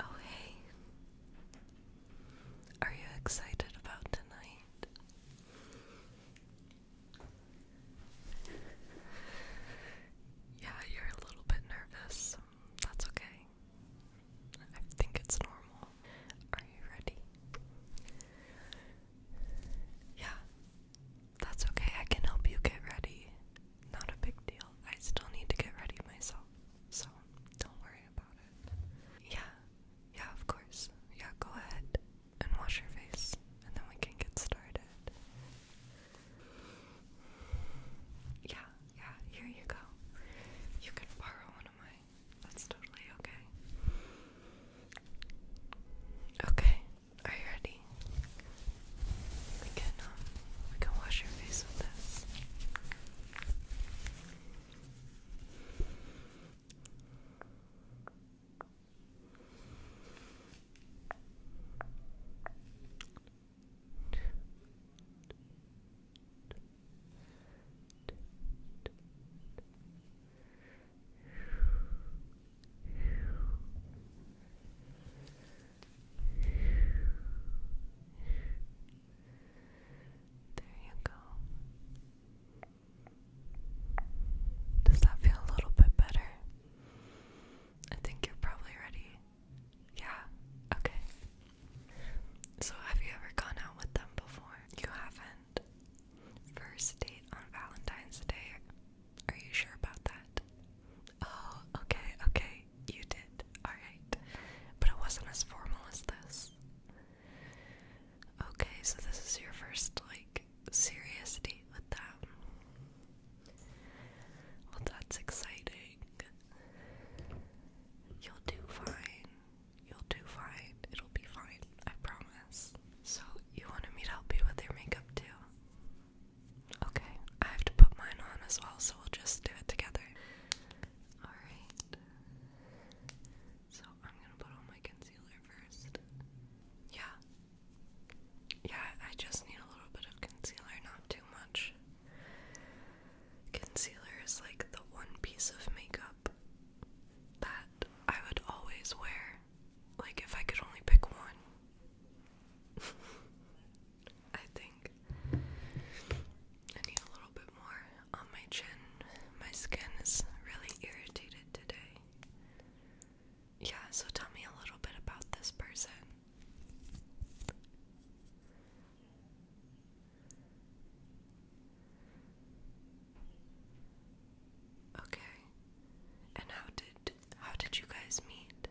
Oh, hey. Are you excited about tonight? Yeah, you're a little bit nervous. That's okay. I think it's normal. Are you ready? Yeah, that's okay. I can help you get ready not a big deal. I still need to get ready myself, so don't worry about it. Yeah, yeah, of course. Yeah, go ahead and wash your face, and then we can get started. Yeah, yeah, here you go. You can borrow one of mine. That's totally okay. Okay, are you ready? handy. We can um, we can wash your face with this. There you go. Does that feel a little bit better? I think you're probably ready. Yeah, okay. So, have you ever gone out with them before? You haven't? First date on Valentine's Day are you sure about that? Oh, okay, okay. You did. Alright. But it wasn't as formal as this. Okay, so this is your first, like, serious date with them. Well, that's exciting. You'll do fine. You'll do fine. It'll be fine. I promise. So, you want me to help you with your makeup too? Okay, I have to put mine on as well, so we'll just do it together. Alright. So I'm gonna put on my concealer first. Yeah. Yeah, I just need a little bit of concealer, not too much. Concealer is like the one piece of makeup that I would always wear. Like, if I could only pick one, I think I need a little bit more on my chin. My skin is really irritated today. Yeah, so tell me a little bit about this person. Okay. And how did how did you guys meet?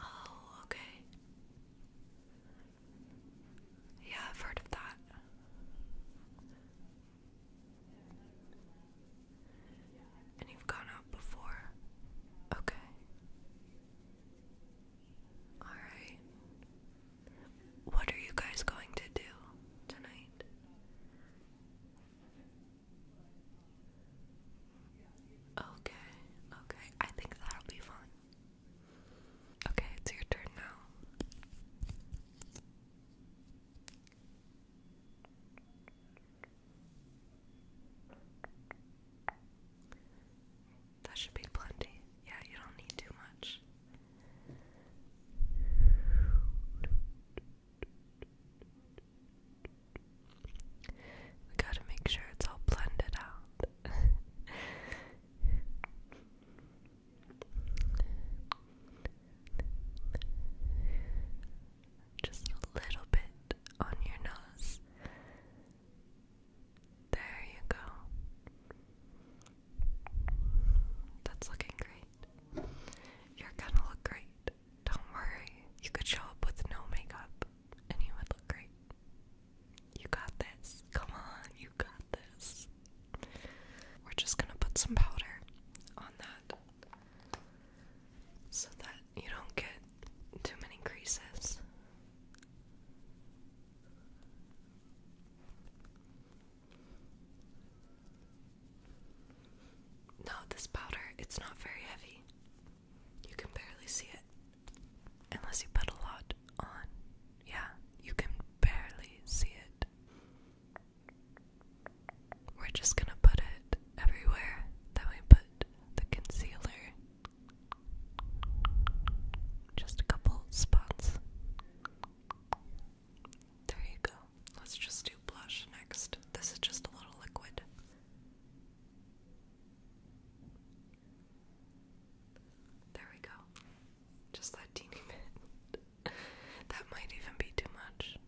Oh, okay. Yeah, I've heard of that. And you've gone out before? Okay. Alright. What are you guys going to do tonight? Okay, okay. I think that'll be fun. Okay, it's your turn now. That should be plenty. Yeah, you don't need too much. We gotta make sure it's all blended out. Just a little bit on your nose. There you go. That's looking great. You're gonna look great. Don't worry, you could show up with no makeup and you would look great. You got this. Come on, you got this. We're just gonna put some powder on that so that you don't get too many creases. No, this powder, it's not very heavy. You can barely see it. Unless you put a lot on. Yeah, you can barely see it. We're just gonna put it everywhere that we put the concealer. Just a couple spots. There you go. Let's just do blush next. This is just a little liquid. There we go. Just that teeny bit. that might even be too much.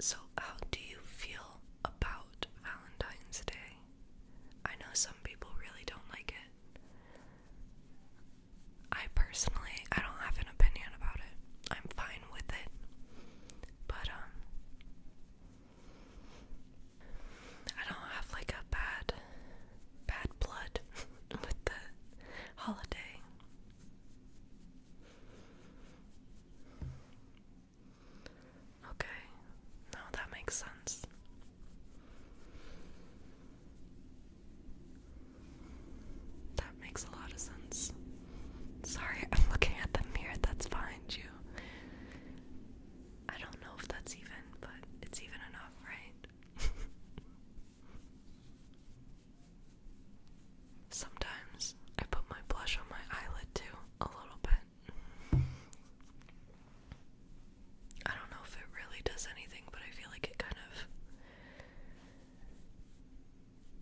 So, how do you feel about Valentine's Day? I know some people really don't like it. I personally, I don't have an opinion about it. I'm fine with it. But, um, I don't have like a bad, bad blood with the holiday. Okay, now that makes sense. That makes a lot of sense. Sorry, I'm looking at the mirror that's fine. you. I don't know if that's even, but it's even enough, right? Sometimes I put my blush on my eyelid too, a little bit. I don't know if it really does anything, but I feel like it kind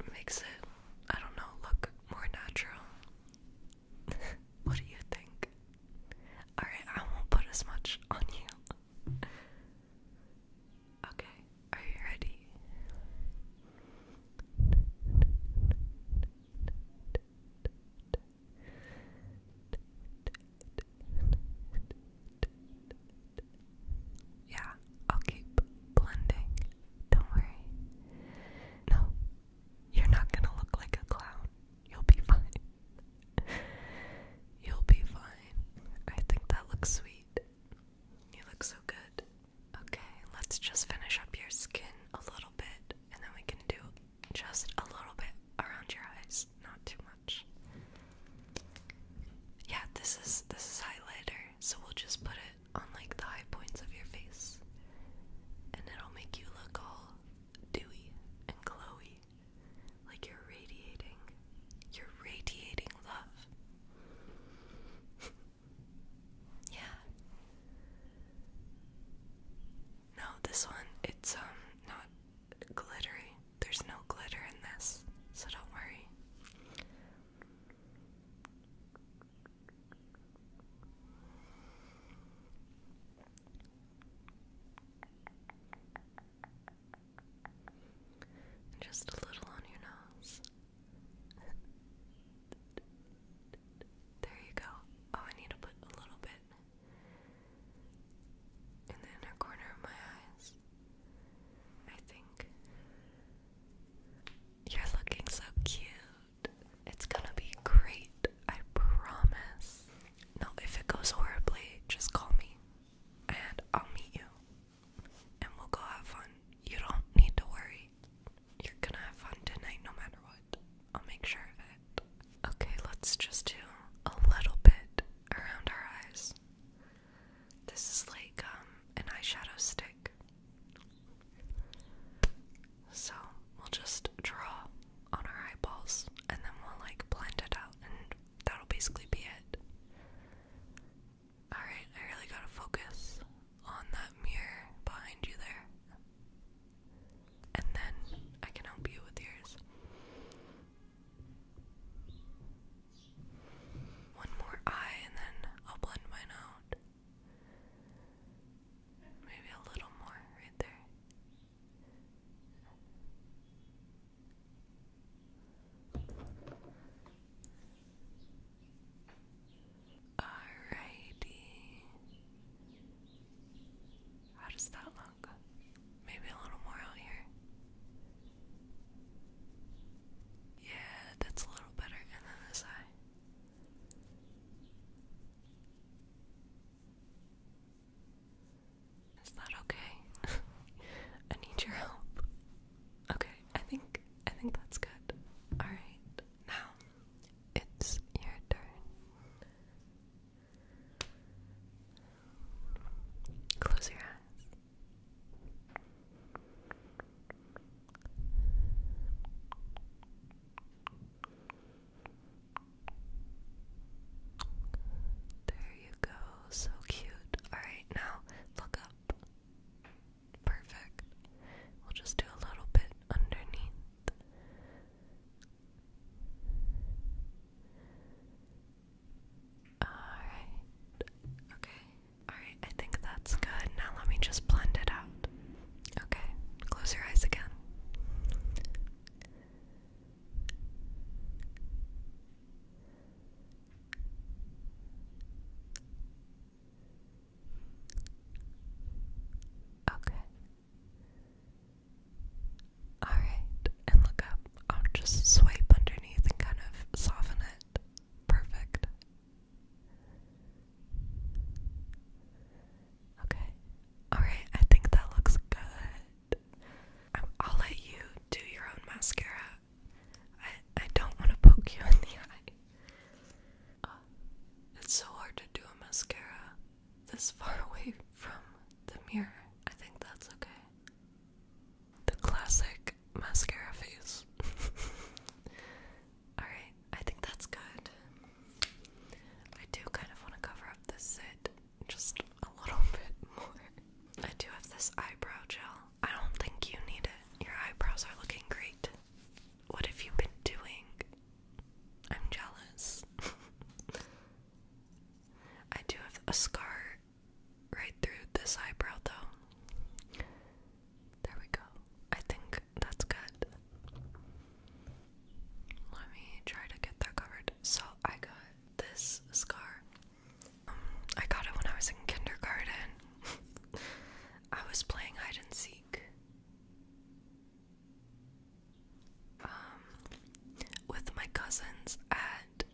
of makes it, I don't know, look more natural. what do you think? Alright, I won't put as much on you. okay, are you ready? Yeah, I'll keep blending. Don't worry. No, you're not gonna look like a clown. You'll be fine. You'll be fine. I think that looks sweet. You look so good. Okay, let's just finish up your skin a little bit and then we can do just a little bit around your eyes, not too much. Yeah, this is this is highlighter, so we'll just put it on like the high points of your face, and it'll make you look all dewy and glowy, like you're radiating, you're radiating love. Yeah. No, this one, it's um not glittery. There's no glitter in this, so don't worry. just a little on your nose. There you go. Oh, I need to put a little bit in the inner corner of my eyes. I think. You're looking so cute. It's gonna be great, I promise. No, if it goes horribly, just call me and I'll meet you and we'll go have fun you don't need to worry. You're gonna have fun tonight no matter what. I'll make sure of it. Okay, let's just do a little bit around our eyes. This is like um an eyeshadow stick. So we'll just draw on our eyeballs and then we'll like blend it out and that'll basically be it. Alright, I really gotta focus on that mirror behind you there. And then I can help you with yours. One more eye, and then I'll blend mine out. Maybe a little more right there. Alrighty. How does that look? Maybe a little more out here. Yeah, that's a little better. And then this eye. Is that okay? I need your help. Okay, I think I think that's good. All right. Now, it's your turn. Close your eyes. There you go, so cute. Alright, now look up. Perfect. We'll just do a little bit underneath. Alright. Okay. Alright, I think that's good. Now let me just blend it out. Okay, close your eyes again. Okay. Alright, and look up. I'll just swipe underneath and kind of soften it. Perfect. Okay. Alright, I think that looks good. Um, I'll let you do your own mascara I I don't want to poke you in the eye. Uh, it's so hard to do a mascara this far away from the mirror. I think that's okay. The classic mascara face. Alright, I think that's good. I do kind of want to cover up this sit just a little bit more. I do have this eyebrow gel I don't think you need it. Your eyebrows are looking great. What have you been doing? I'm jealous. I do have a scar right through this eyebrow, though. There we go. I think that's good. Let me try to get that covered. So, I got this scar. Um, I got it when I was in kindergarten. I was playing hide and seek um, with my cousins at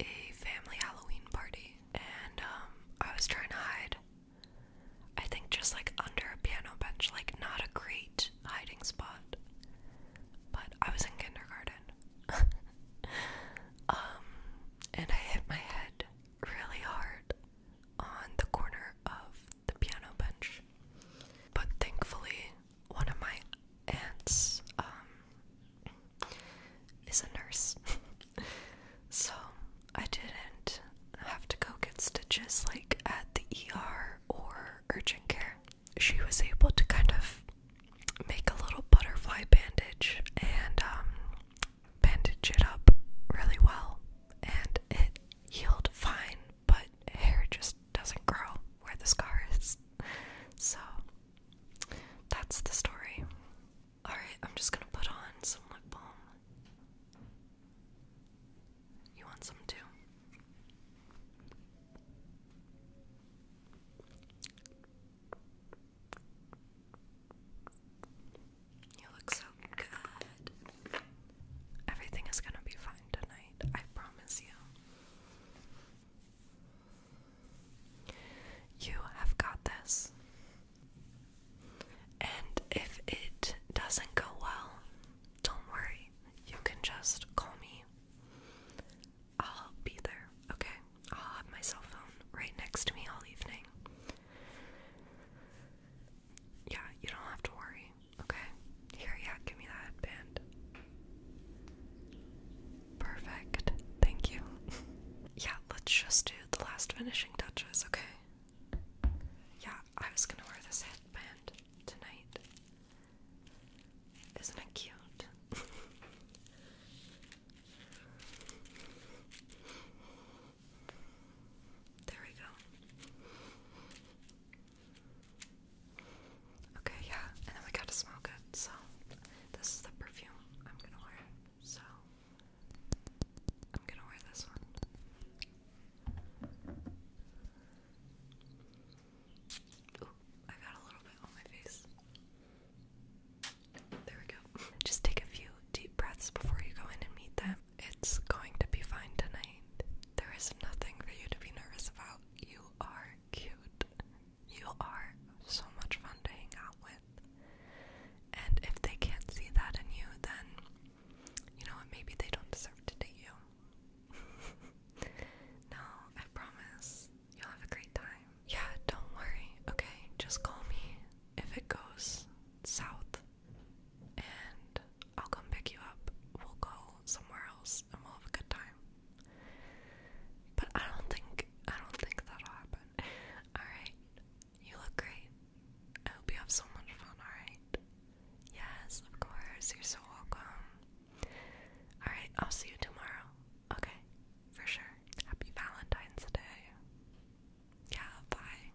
a family Halloween party, and um, I was trying to hide. I think just like under a piano bench, like not a great hiding spot. But I was in kindergarten. Um, and I hit my head really hard on the corner of the piano bench. But thankfully, one of my aunts um, is a nurse. so I didn't have to go get stitches like at the ER or urgent care. She was able to kind of make a little butterfly bandage and um, bandage it up really well and it healed fine, but hair just doesn't grow where the scar is. So that's the story. Alright, I'm just gonna put on some lip balm. You want some too? You look so good. Everything is gonna be fine tonight, I promise you. You have got this. And if it doesn't go well, don't worry. You can just call me. I'll be there, okay? I'll have my cell phone right next to me all evening. Yeah, you don't have to worry. Okay? Here, yeah, give me that headband. Perfect. Thank you. yeah, let's just do the last finishing touches, okay? Yeah, I was gonna wear this headband tonight. Isn't it cute? There we go. Okay, yeah, and then we gotta smell good, so this is the perfume I'm gonna wear, so I'm gonna wear this one. I got a little bit on my face. There we go. Just take a few deep breaths before you go in and meet them. It's going to be fine tonight. There is nothing for you to be nervous about. You are cute. You are so much fun to hang out with. And if they can't see that in you, then you know Maybe they don't deserve to date you. no, I promise. You'll have a great time. Yeah, don't worry, okay? Just call me if it goes south and I'll come pick you up. We'll go somewhere else and we'll have a good time. But I don't think I don't think that'll happen. Alright. You look great. I hope you have so much fun, alright? Yes, of course. You're so welcome. Alright, I'll see you tomorrow. Okay for sure. Happy Valentine's Day. Yeah, bye.